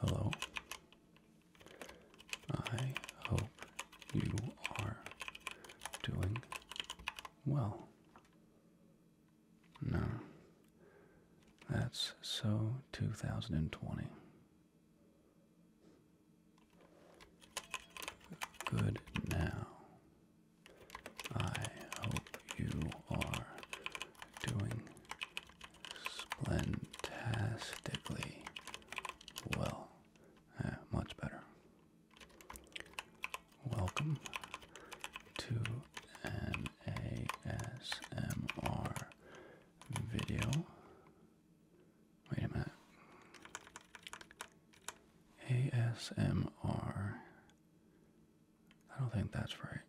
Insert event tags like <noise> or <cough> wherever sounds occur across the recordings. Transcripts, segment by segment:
Hello. I hope you are doing well. No. That's so 2020. Good now. I hope you are doing splendastically well. Uh, much better. Welcome to an ASMR video. Wait a minute. ASMR I don't think that's right.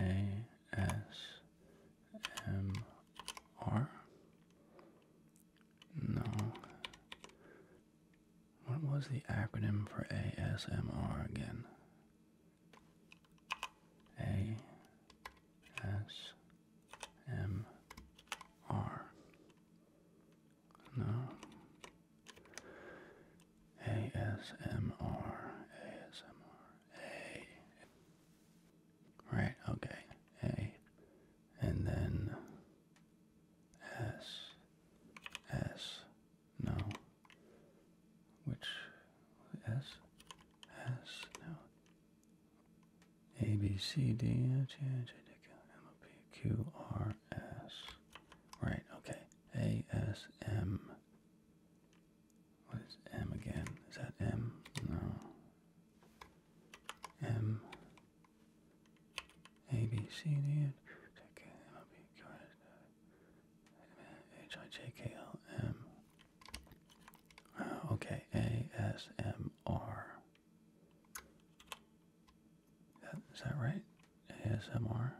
A S M R? No. What was the acronym for ASMR again? A S M R. No. ASMR. Right, okay. A. And then S. S. No. Which S? S. No. A B C D H H I J K L M O P Q R S. Right, okay. A S M. What is M again? Is that M? No. M. A B C D N. K M O B Q R S H I J K L M. Oh, okay. A S M R. Is that right? ASMR?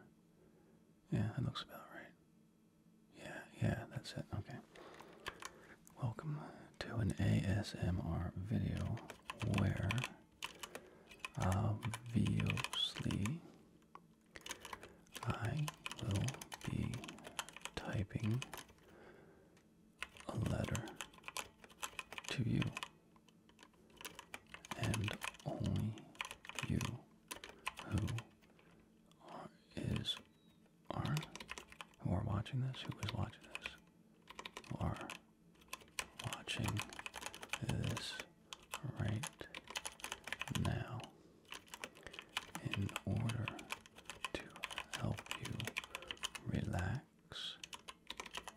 Yeah, that looks about right. Yeah, yeah, that's it. Okay. Welcome to an ASMR video where uh, obviously I will be typing a letter to you and only you who are is are who are watching this, who is watching this, are watching this right now in order to help you relax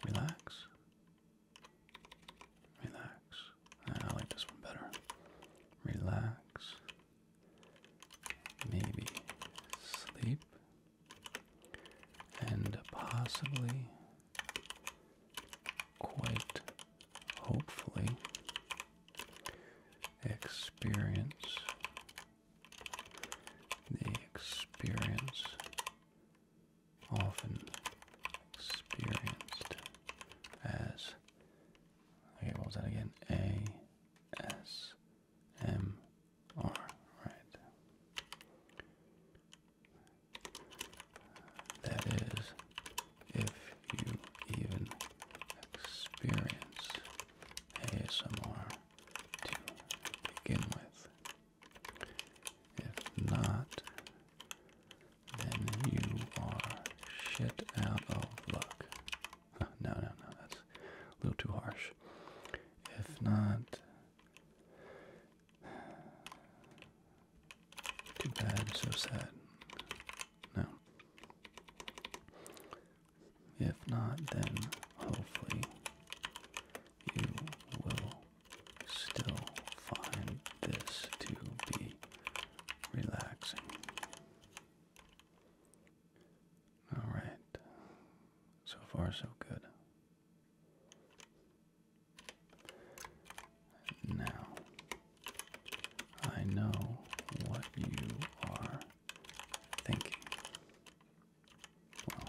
relax, relax. I like this one better. Relax, maybe sleep, and possibly, quite hopefully, experience the experience often experienced as that again? A S M R, right? That is, if you even experience ASMR to begin with. If not, then you are shit out of luck. <laughs> No, no, no, that's a little too harsh. If not, too bad, so sad. No. If not, then hopefully you will still find this to be relaxing. Alright, so far so good. Now, I know what you are thinking. Well,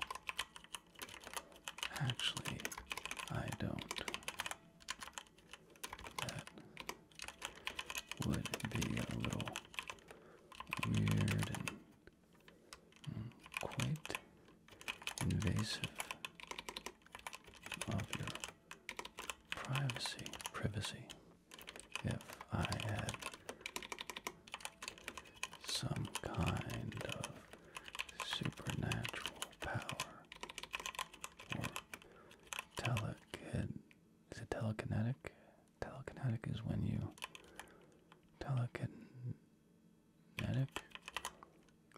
actually, I don't. That would be a little weird and mm, quite invasive of your privacy privacy if some kind of supernatural power or telekin is it telekinetic? Telekinetic is when you telekinetic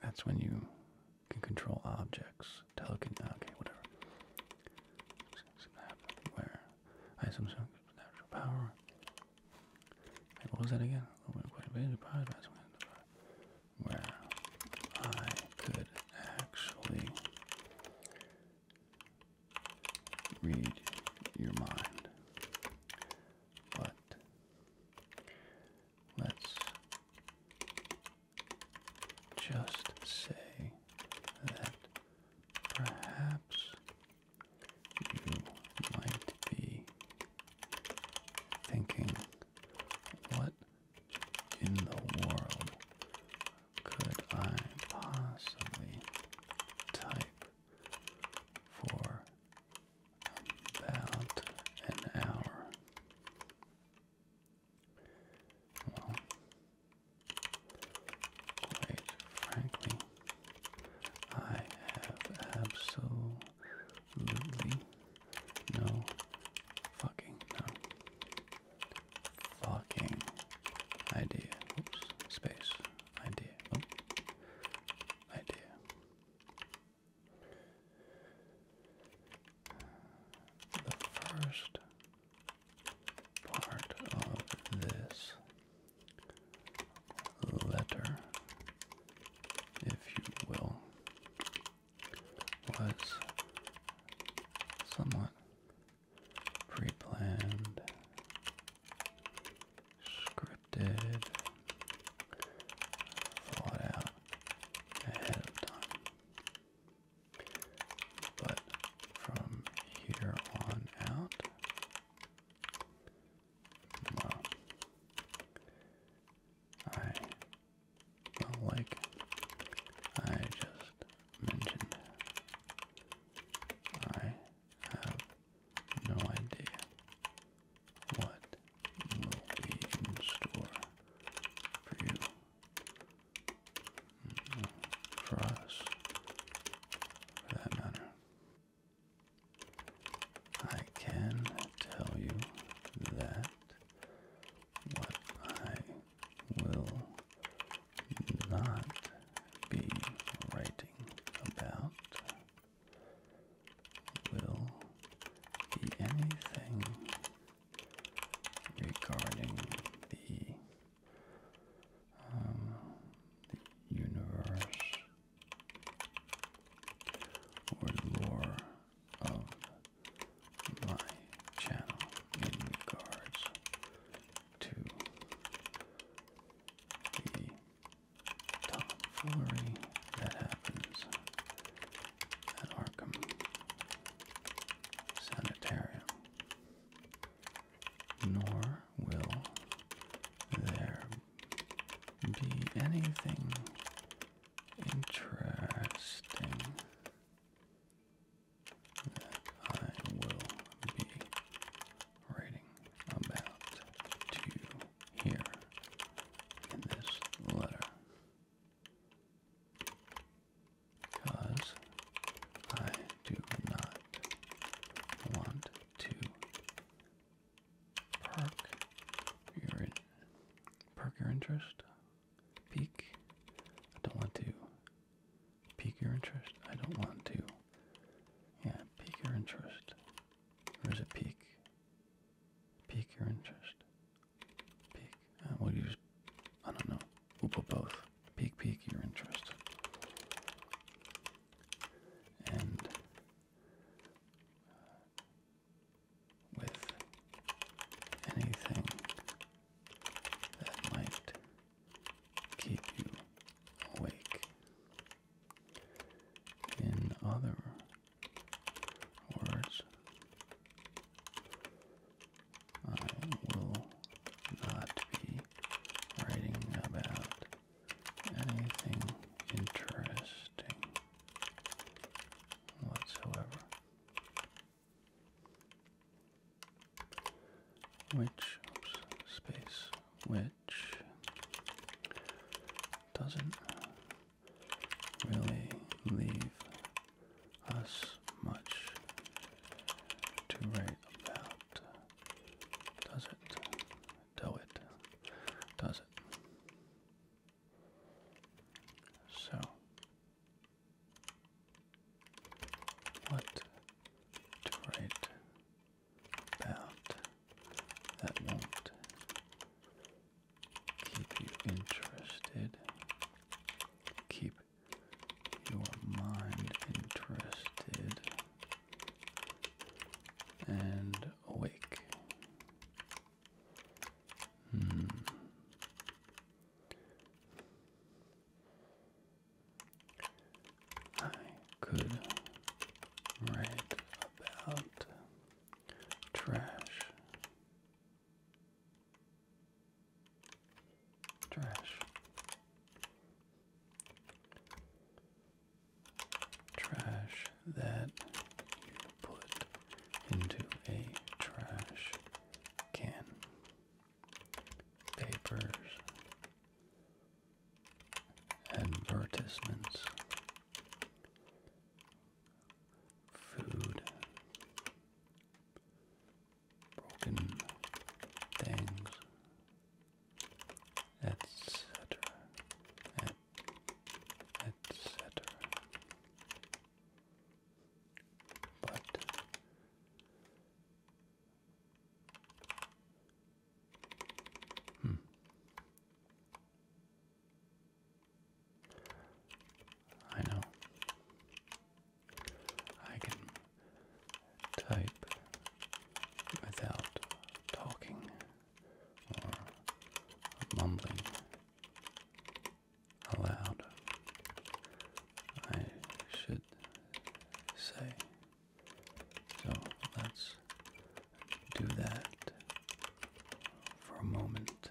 that's when you can control objects. Telekin okay, whatever. Where I some supernatural power what was that again? where I could actually read your mind. But let's just say that perhaps you might be thinking, what in the world could I possibly type for about an hour? Well, quite frankly, I have absolutely no fucking no fucking idea. Oops, space idea. Oh, idea. The first part of this letter, if you will, was somewhat pre-planned, scripted, thought out ahead of time. But from here on out, well, I well, like I just mentioned, I have no idea what will be in store for you, mm-hmm. for us, for that matter. I can tell you that what I will not be writing about will be anything regarding the um, universe or lore of my channel in regards to the tomfoolery that happens at Arkham Sanitarium. Nor will there be anything interesting that I will be writing about to you here in this letter. Because I do not want to Perk your interest. Peak. I don't want to. Pique your interest. I don't want to. Yeah, pique your interest. Or is it peak? Pique your interest. Peak. Uh, we'll use. I don't know. We'll put both. Peak, peak your interest. And with anything that might keep you awake. In other words, I will not be writing about anything interesting whatsoever. Which, space, which doesn't really leave us much to write about, does it? do it, does it? So, what to about that won't keep you interested, keep your mind interested, and awake. Hmm. I could write about trash, trash, trash that you put into a trash can. Papers, advertisements, food, broken things, etc., etc etc. But hmm. I know I can type without talking mumbling aloud. I should say. So let's do that for a moment.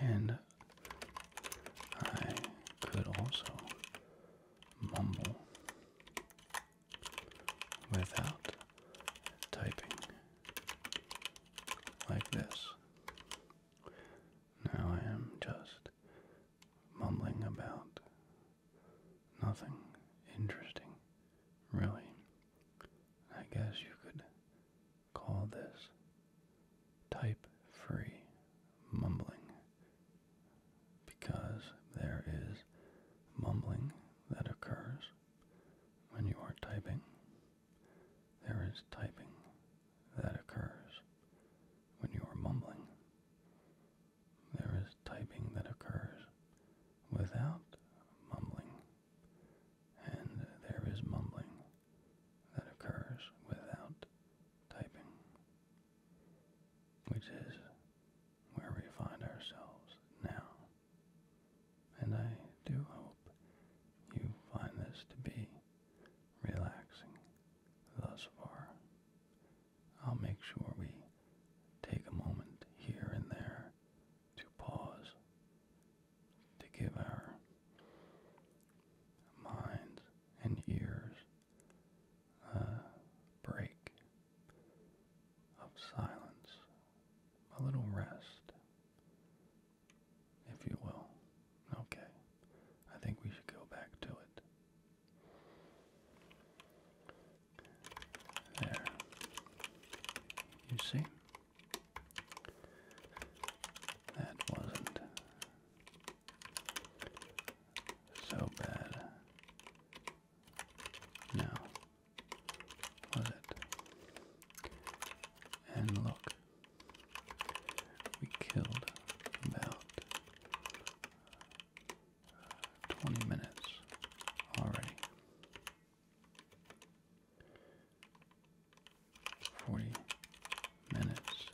And I could also mumble without typing like this. Now I am just mumbling about nothing interesting, really. I guess you could call this type free mumbling because there is mumbling that occurs when you are typing. There is typing that occurs when you are mumbling. There is typing that occurs without mumbling and there is mumbling that occurs without typing, which is where we find ourselves now. And I do hope you find this to be relaxing thus far. I'll make sure we take a moment here and there to pause to give our minds and ears a break of silence, a little rest, if you will. Okay, I think we should go back to it. There. You see? That wasn't so bad. No. Was it? And look. We killed about 20 minutes already. Forty minutes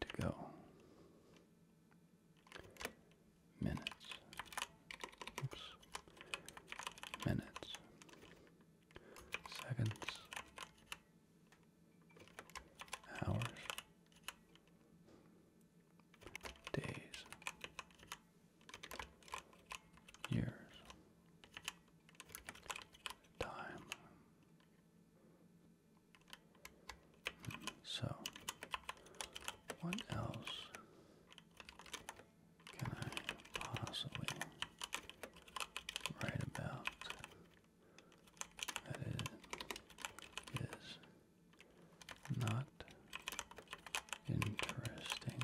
to go. Minutes. Minutes. Seconds. Hours. Days. Years time. So, what else can I possibly write about that is, not interesting?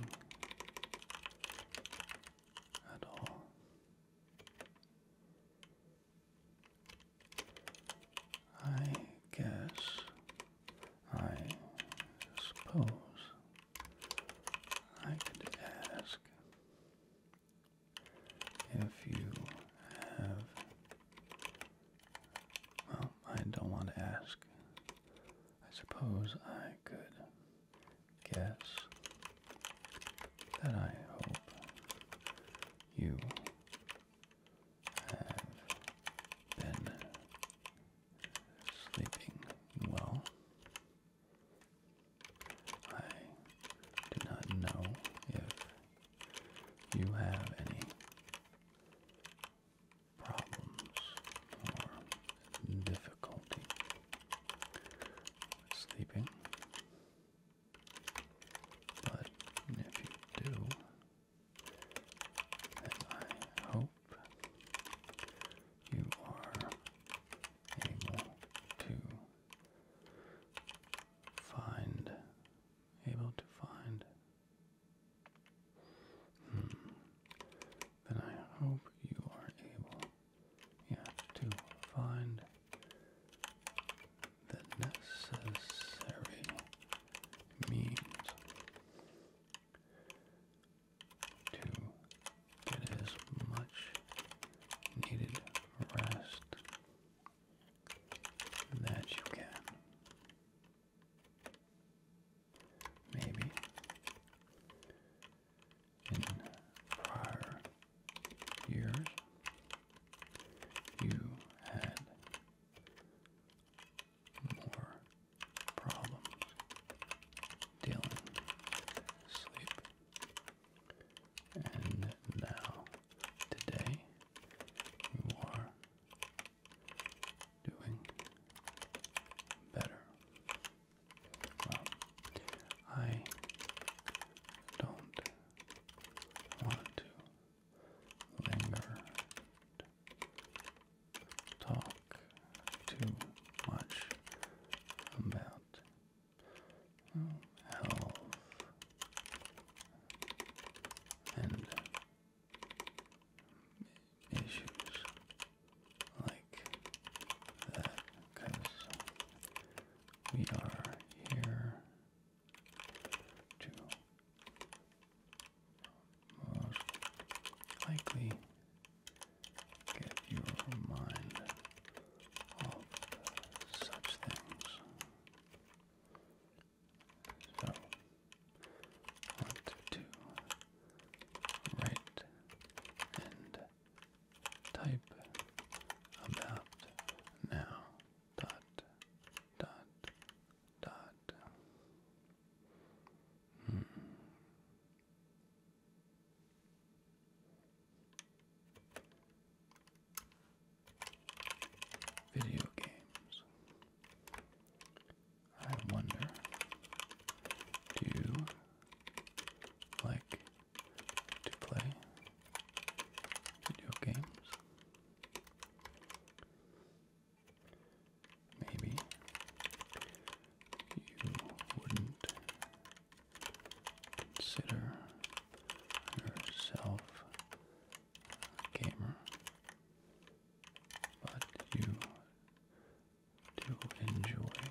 at all. I guess, I suppose, I could ask if you have. Well, I don't want to ask. I suppose I could guess that I hope you have been sleeping well. I do not know if you have any problems or difficulty sleeping. But if you do, then I hope you are able to find, able to find. Hmm, then I hope you are able you to find the necessary means to get as much needed rest that you can. Maybe in prior years, you had more problems dealing with sleep. And now, today, you are doing better. Well, I don't want to linger, talk too much about health and issues like that because we are here to most likely get your mind off such things. So, want to write and Type about now. Dot, dot, dot. Hmm. Video games. I wonder, do like to play video games. Maybe you wouldn't consider yourself a gamer, but you to enjoy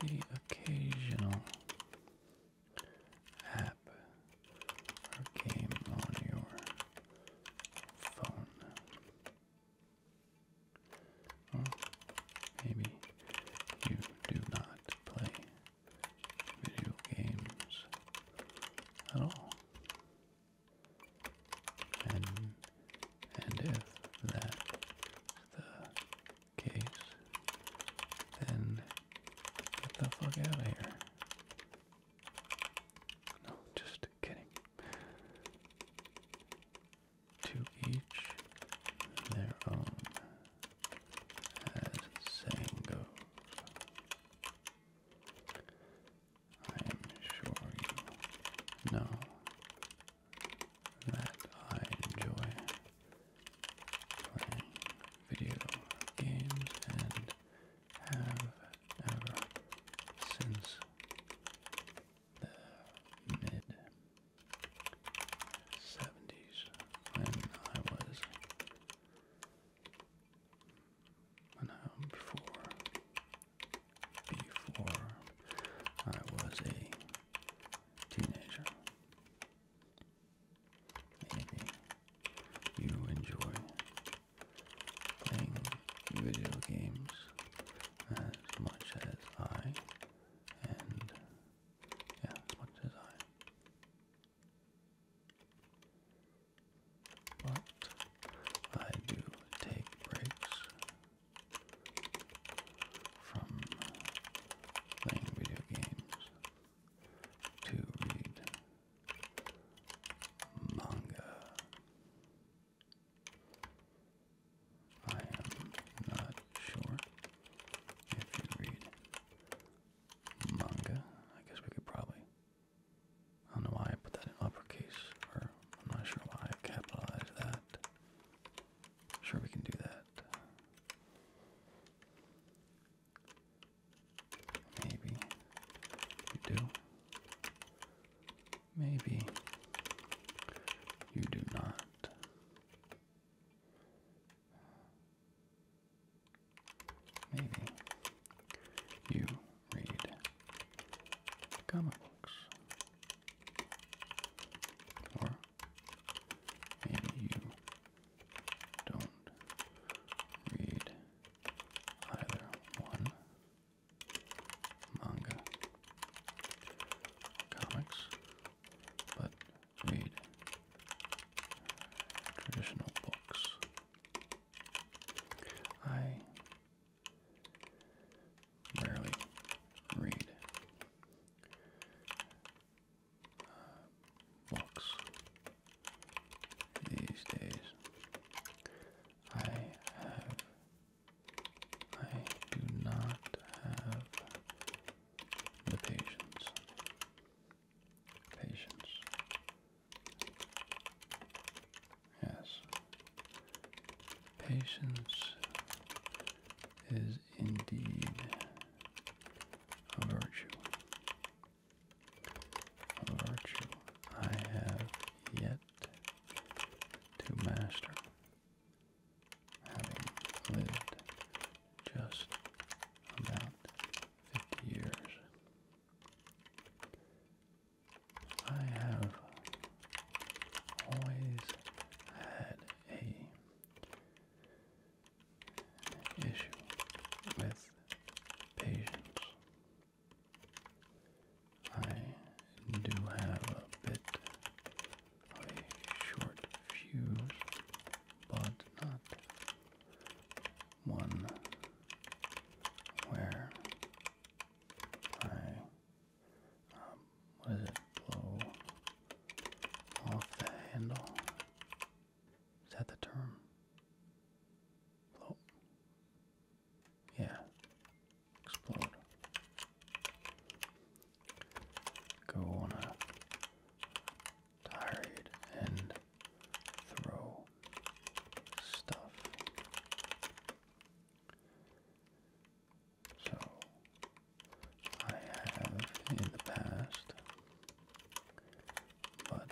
the occasional app or game on your phone. maybe you do not play video games at all. And and if that's the case, then get the fuck out of here. No, just kidding. To each their own, as the saying goes. I am sure you know that I enjoy playing video games and have ever since the mid 70s when I was when I before before I was a teenager. Maybe you enjoy playing video games as much as I, and yeah, as much as I. But I do take breaks from playing video games to read manga. I am not sure if you read manga. I guess we could probably. I don't know why I put that in uppercase, or I'm not sure why I capitalized that. Sure, we can do that. Maybe you do. Maybe you do not. Maybe you read comic or maybe you don't read either one manga comics, but read traditional books. I rarely read. books uh, these days. I have, I do not have the patience, patience. Yes, patience is indeed a virtue. A virtue I have yet to master, having lived just about fifty years. I have always had a issue with patience. I do have a bit of a short fuse, but not one where I um, what is it? Blow off the handle. Is that the term? Blow. Yeah. Explode. Go on a tirade and throw stuff. So I have in the past, but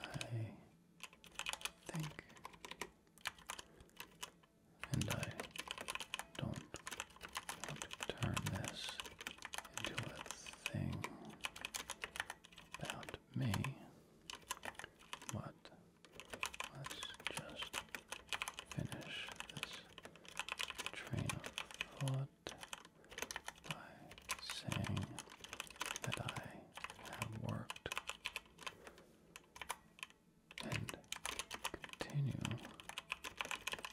I think and I don't want to turn this into a thing about me, but let's just finish this train of thought by saying that I have worked and continue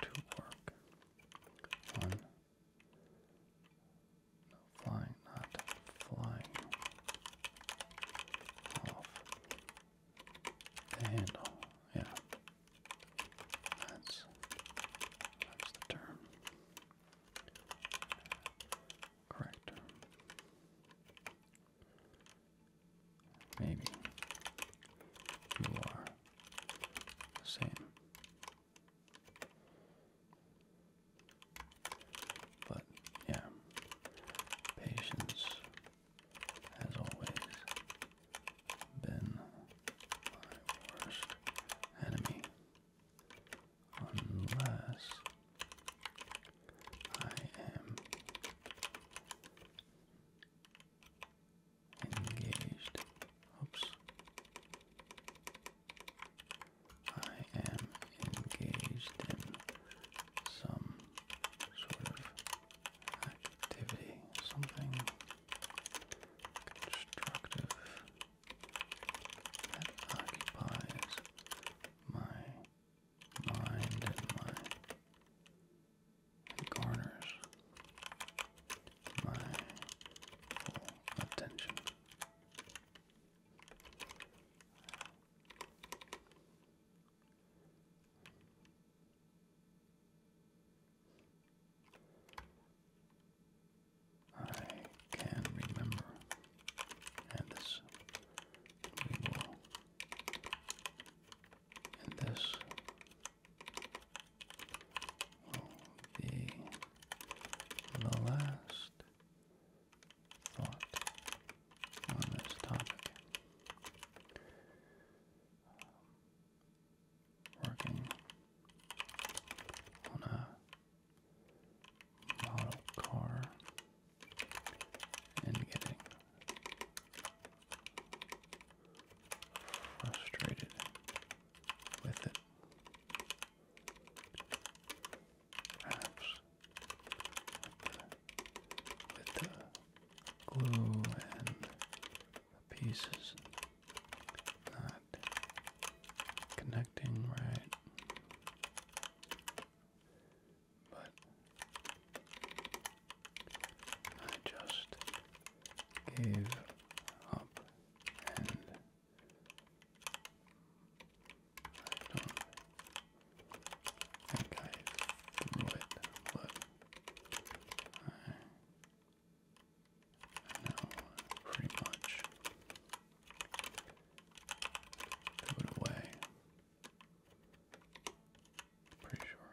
to work on flying, not flying off the handle, yeah. That's that's the term. Correct Maybe you are same. But yeah, patience has always been my worst enemy. Unless I am engaged. Oops. I am engaged in some sort of activity, something constructive that occupies my mind and my and my attention. I can remember, and this we will, and this will be the last thought on this topic. Um, working on a model car and getting frustrated with it. Perhaps with the glue and the pieces not connecting right. But I just gave up and don't that guy blew it. Look. I, know pretty much. Threw it away. Pretty sure.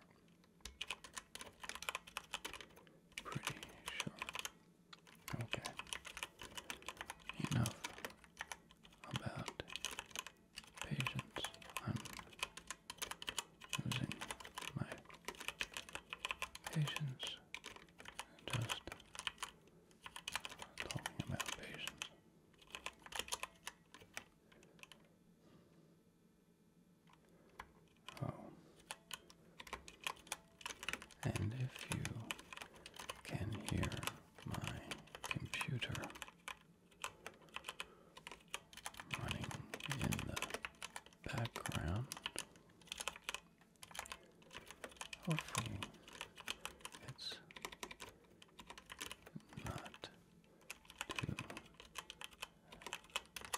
Pretty sure. Okay. Enough about Patience. I'm losing my patience. Just talking about patience. Oh. And if you can hear my computer running in the background. Hopefully, it's not too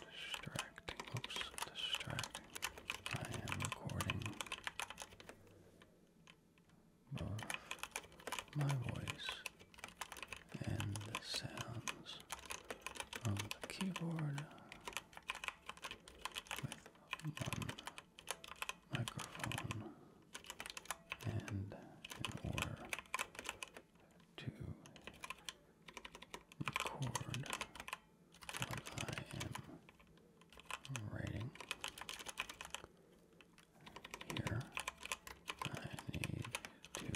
distracting. Oops, distracting. I am recording of my voice and the sounds of the keyboard with one microphone and in order record what I am writing here. I need to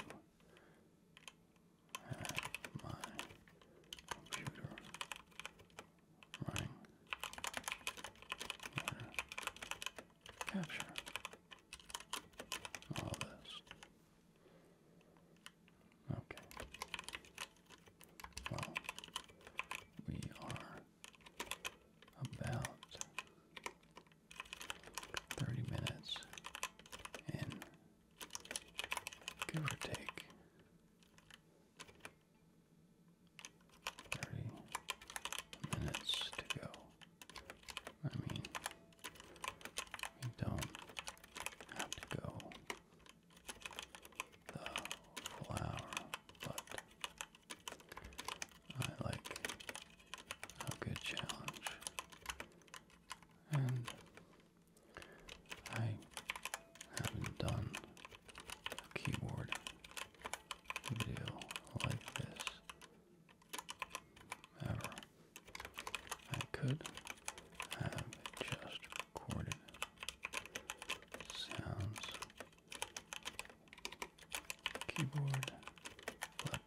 have my computer running capture all this. Okay. Well, we are about 30 minutes and give or take 30 minutes to go. I mean, we don't have to go the full hour, but I like a good challenge. And I haven't done a keyboard video like this ever. I could have just recorded sounds keyboard, but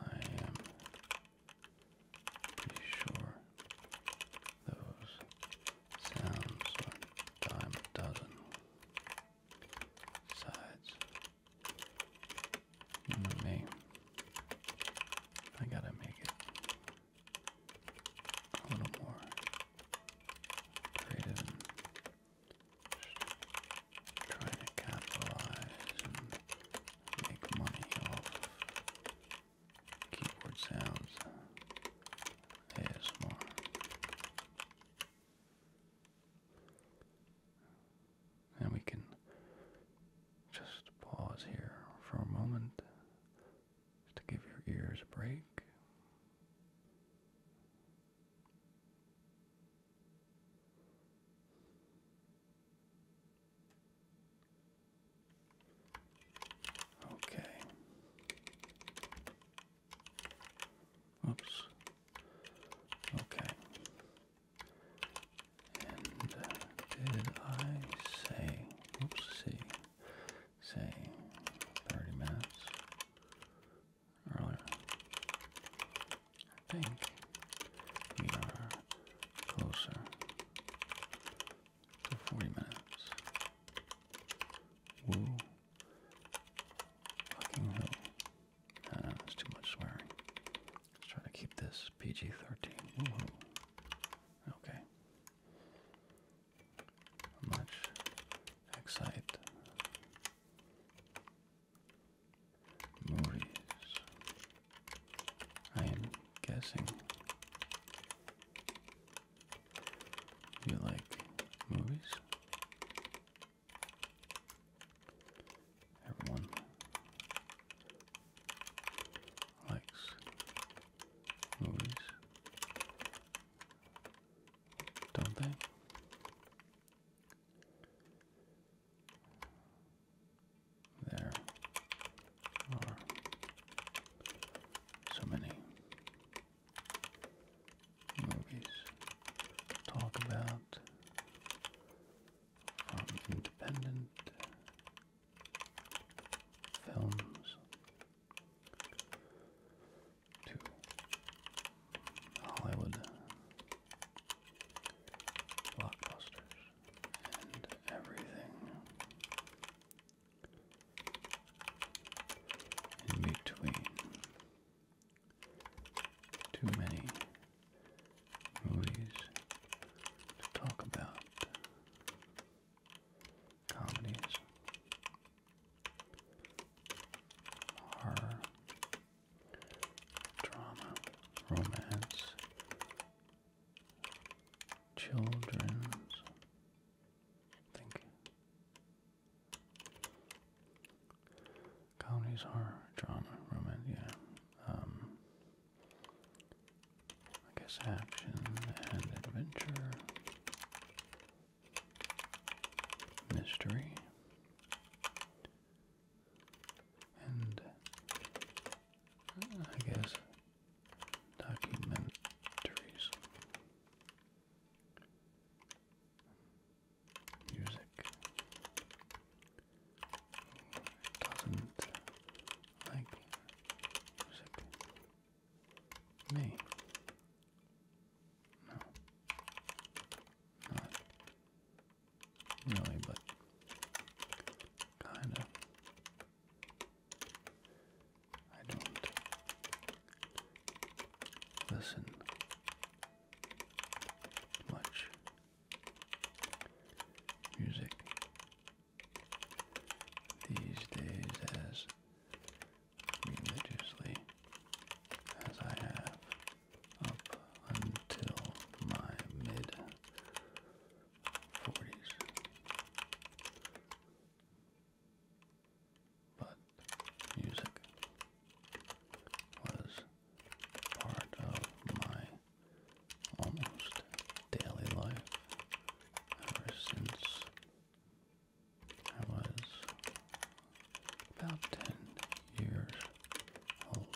I am pretty sure those sounds are dime a dozen. Besides, you hmm, know I gotta make it a little more creative trying to capitalize and make money off keyboard sounds ASMR. And we can just pause here for a moment to give your ears a break. Okay. Oops. Okay. And uh, did I say, oops, say 30 minutes? earlier. I think we are closer to 40 minutes. Woo. Fucking hell. that's too much swearing. Let's try to keep this PG 13. Okay. much excite Maurice. I am guessing you like movies. Everyone likes movies, don't they? There are so many movies talk about independent films to Hollywood blockbusters and everything in between. Too many movies to talk about. Comedies, horror, drama, romance, children's, I think. Comedies, horror, drama, romance, yeah. Um, I guess action and adventure, mystery, and uh, I guess documentaries, music doesn't like music. Me. No. Not really, but kind of. I don't listen much music these days as religiously as I have up until my mid 40s. But music was part of my almost daily life ever since I was about 10 years old.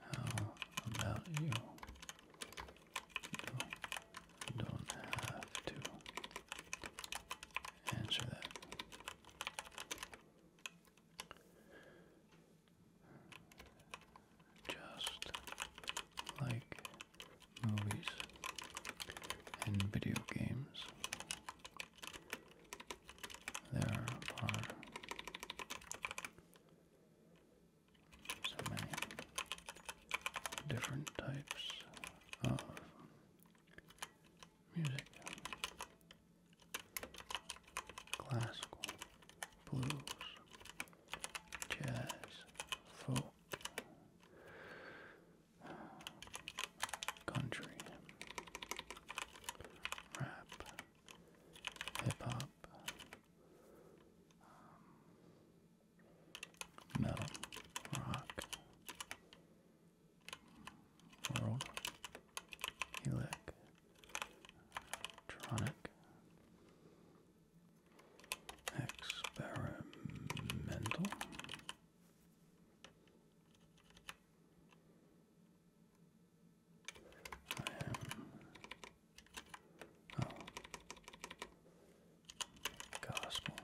How about you? don't have to answer that. Just like movies and video games, there are so many different types of music classical, blues, jazz, folk, country, rap, hip hop, um, metal, rock, world, electronic. Experimental I am. Gospel,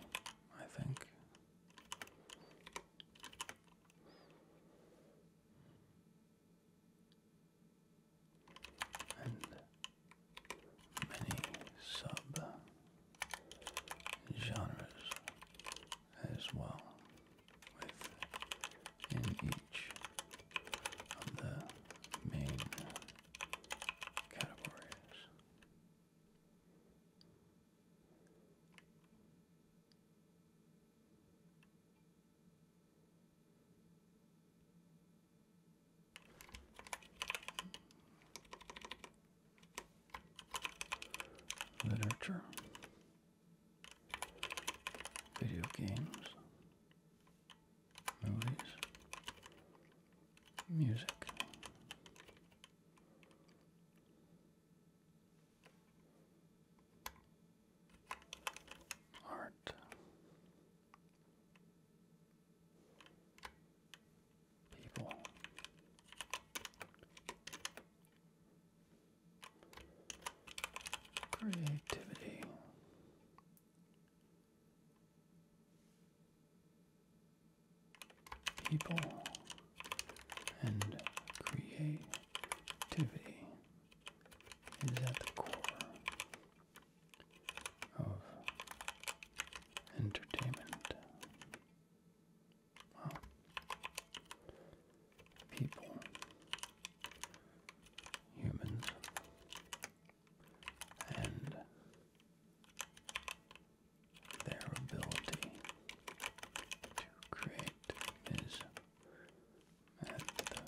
I think. And many sub genres as well within each of the main categories literature, video games, movies, music. Art, people. Creativity. People and creativity is at the core of entertainment. Wow. People. Humans. And their ability to create is at the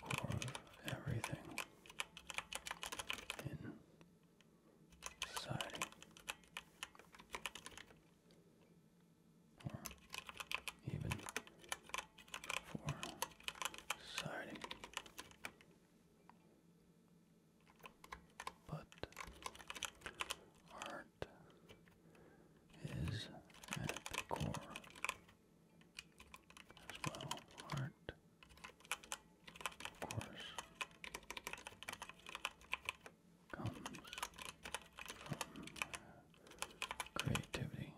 core of everything in society or even for society. But art is at the core as well. Art, of course, comes from creativity.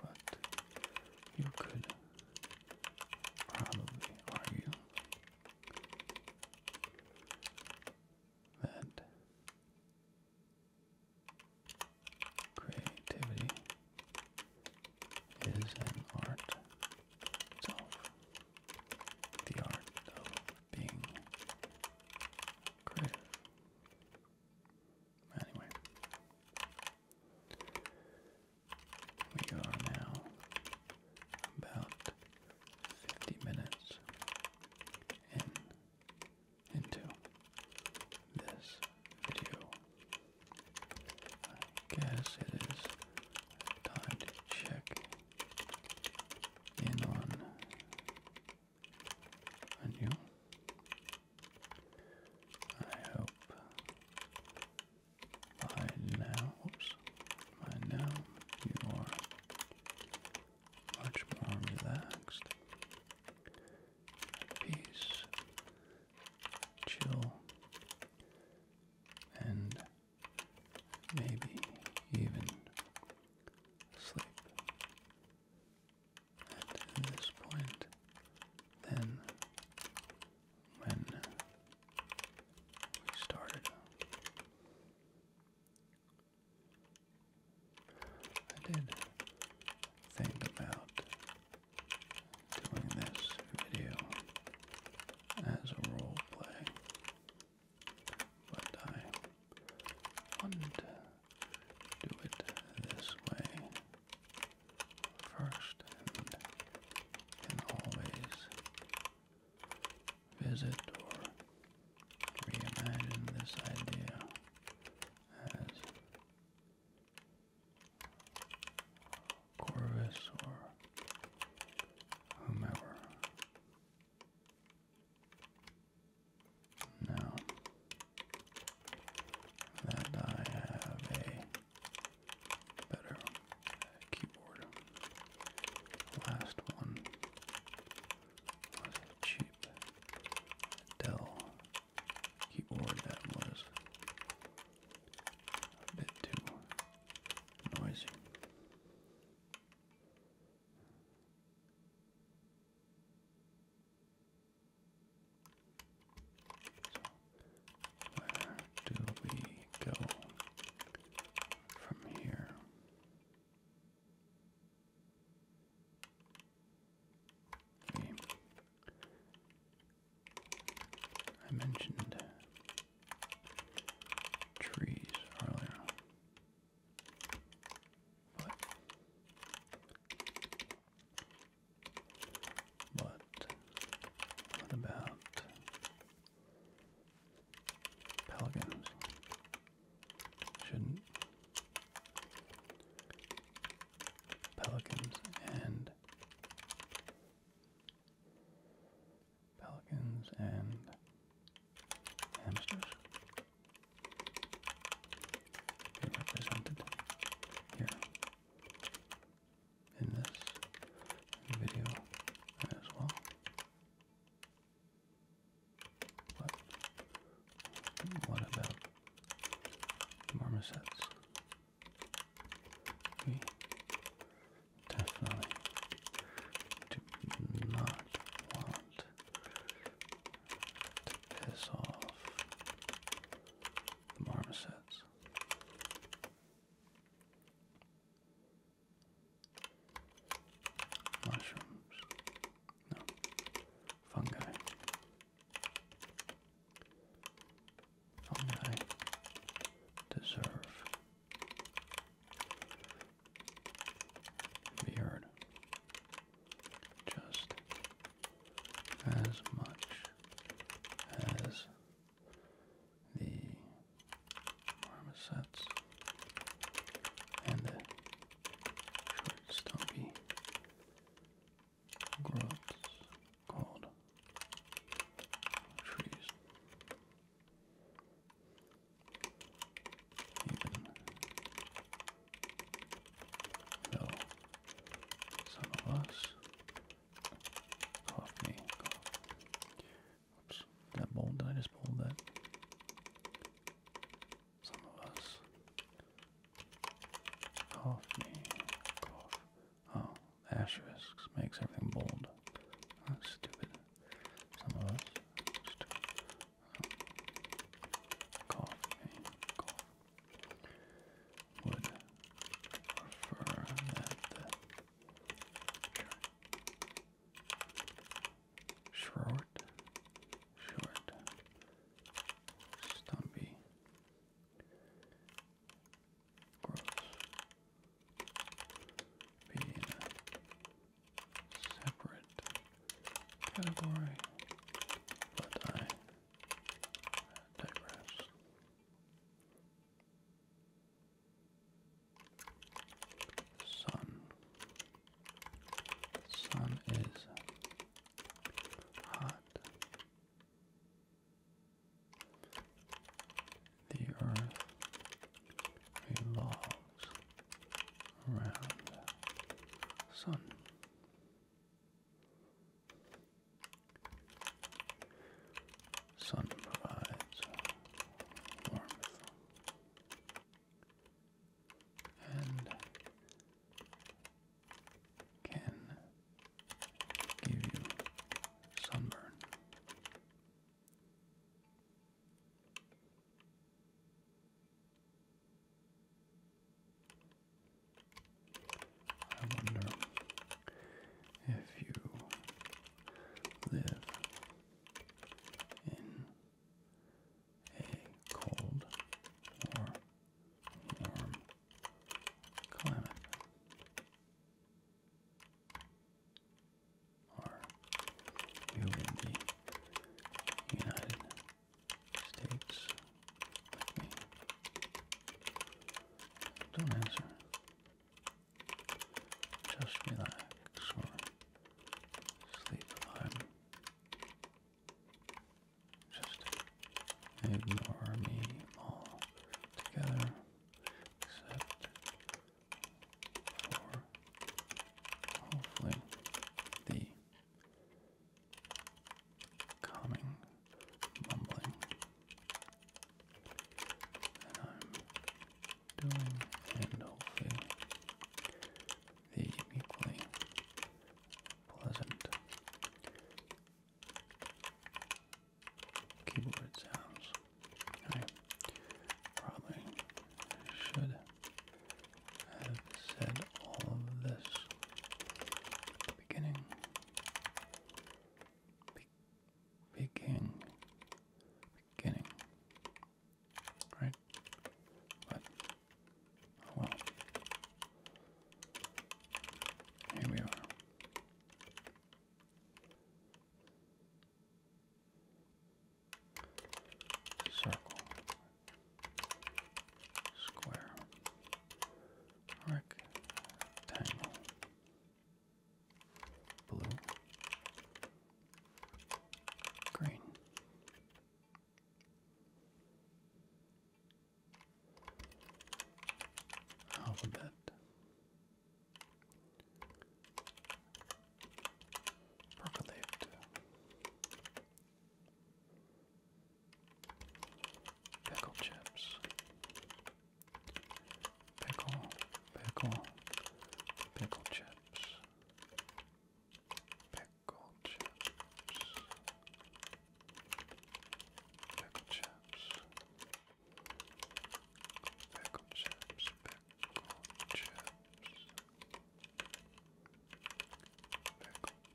But you could probably argue that creativity is an art itself. The art of being creative. Anyway, we are now about 50 minutes into this video. I guess it is time to check in on you. I hope by now, oops, by you are much more relaxed, peace, chill, and maybe even sleep. At this point, then, when we started, I did think about doing this video as a role play, but I wanted to do it this way first and can always visit or reimagine this idea as Corvus or whomever. Now that I have a better keyboard, last one was a cheap Dell keyboard that was a bit too noisy. where do we go from here? I mentioned trees earlier, but what about pelicans? Shouldn't pelicans and pelicans and hamsters are represented here in this video as well. But what about marmosets? We definitely do not want to piss off the marmosets. Mushrooms. No. Fungi. Fungi deserve beard just as much as the marmosets and the short stumpy growths called? Trees. Even though some of us cough Oops, that bold, did I just bold that? Some of us cough Oh, asterisks makes everything bold. That's stupid. Some of us just oh, cough, eh, prefer that short, short, stumpy gross being a separate category, but I digress. Sun. Sun is hot. The earth revolves around the sun. Sun provides warmth and can give you sunburn. I wonder if you live in a cold or warm climate are we were in United States Don't answer. Just relax sleep I'm just ignore me all except for hopefully the calming mumbling that I'm doing and hopefully the equally pleasant keyboard sounds. I probably should have said all of this at the beginning. Begin, beginning, right? But oh well, here we are circle, square, rectangle, blue, green. Alphabet Percolate. Pickle chips. Pickle, pickle, pickle chips. Pickle chips. Pickle chips. Speckle chips, pickle chips. Pickle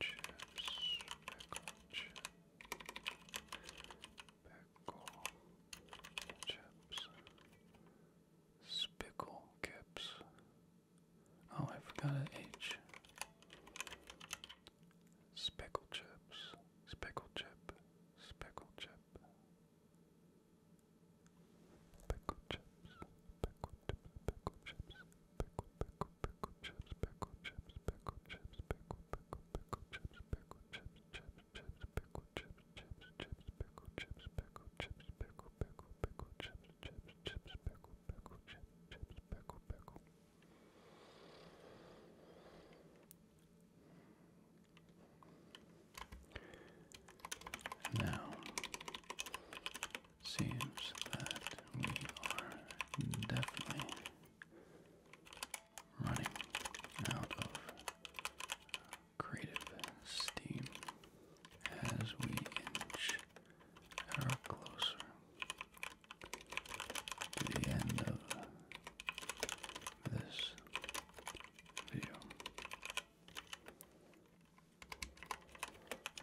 chips, pickle chips. Pickle chips. Spickle kips. Oh, I forgot an H. Spickle chips, spickle chip, spickle chip. Pickle chips, pickle chips, pickle chips, pickle, pickle, pickle chips, pickle chips, pickle chips, pickle, pickle, pickle chips, pickle chips, chips, chips, pickle chips, chips, chips, pickle chips, pickle chips, pickle, pickle, pickle chips, chips, chips, pickle, pickle, chips, chips, pickle, pickle. Now, seems that we are definitely running out of creative steam as we inch ever closer to the end of this video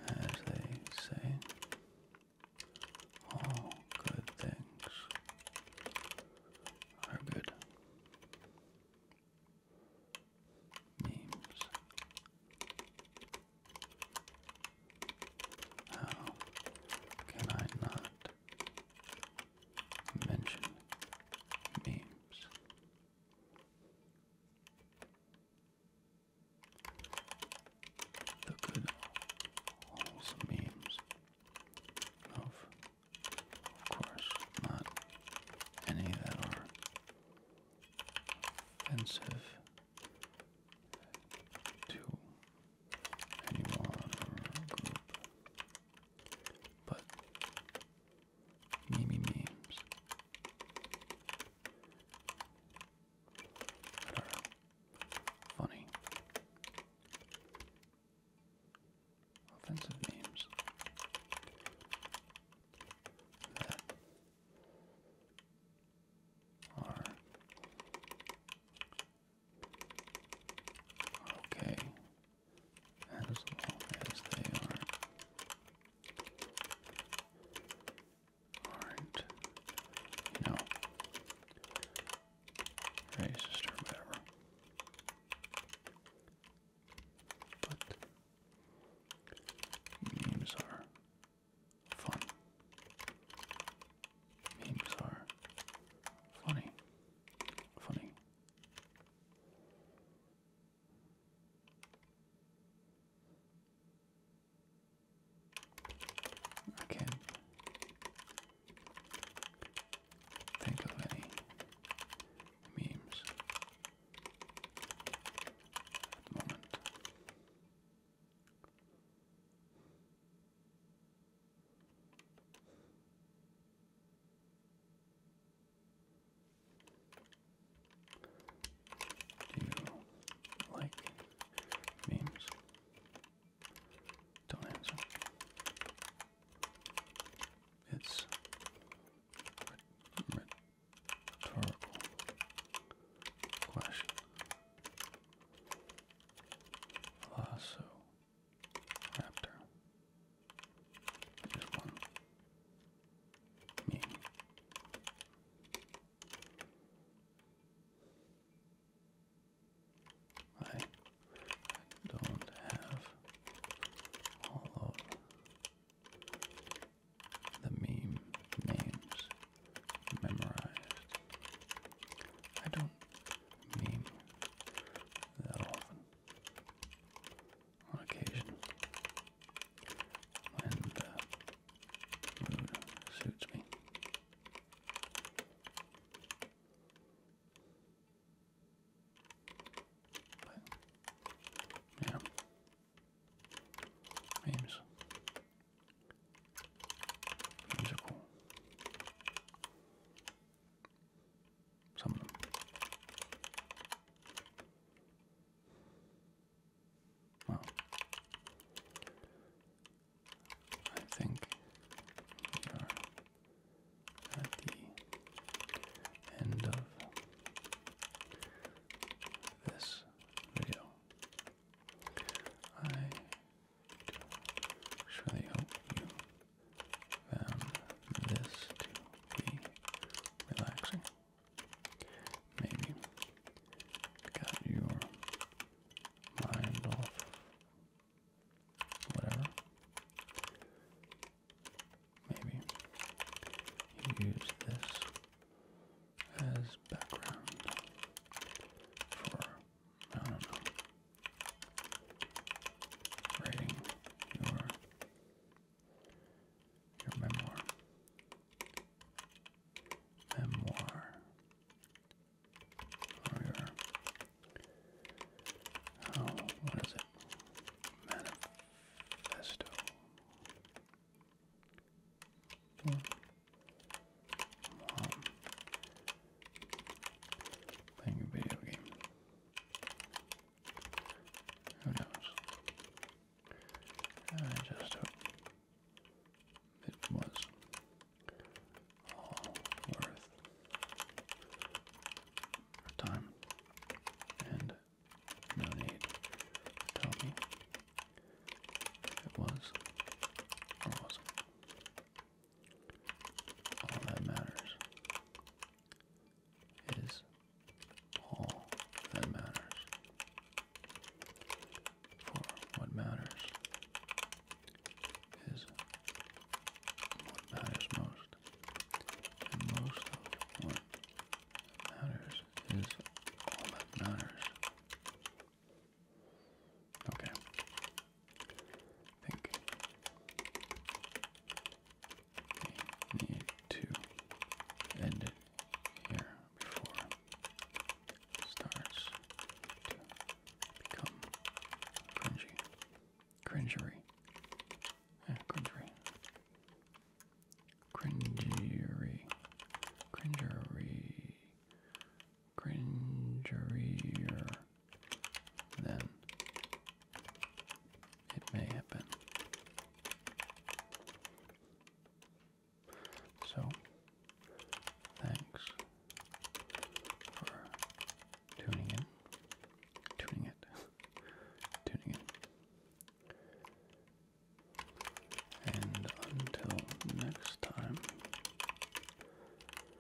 as they say all good things are good memes how can I not mention memes. The good old memes. Of, course, not any that are offensive to anyone or group. But meme memes. I do Funny. Offensive memes. That are are okay as long as they aren't aren't you whatever. But memes are fun. Memes are funny. Funny. I can't think memes moment. Do you like memes? Don't answer. It's rhetorical question. Lasso raptor. There's one. Me. I don't have all of the meme names memorized. I don't meme that often on occasion when the mood suits me. yeah, memes. Memes some of them. Well, I think we are at the end of this video. I surely hope you found this to be relaxing. Maybe got your mind off whatever. Maybe use this as background for I writing your memoir. Memoir. Or oh, your oh, what is it? Manifesto. Playing a video game. Who knows? I just hope it was all worth our time and no need to tell me it was all that matters is all that matters. For what matters is what matters most. And most of what matters is all that matters. Okay. I think we need to end it here before it starts to become cringy. Cringery. Cringery. Cringery. Cringery then it may happen. So, thanks for tuning in. Tuning it. <laughs> tuning it. And until next time,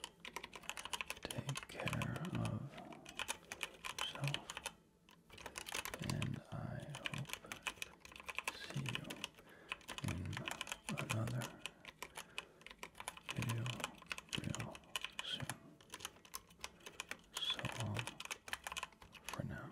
take care of yourself, and I hope see you in another video real soon. So long for now.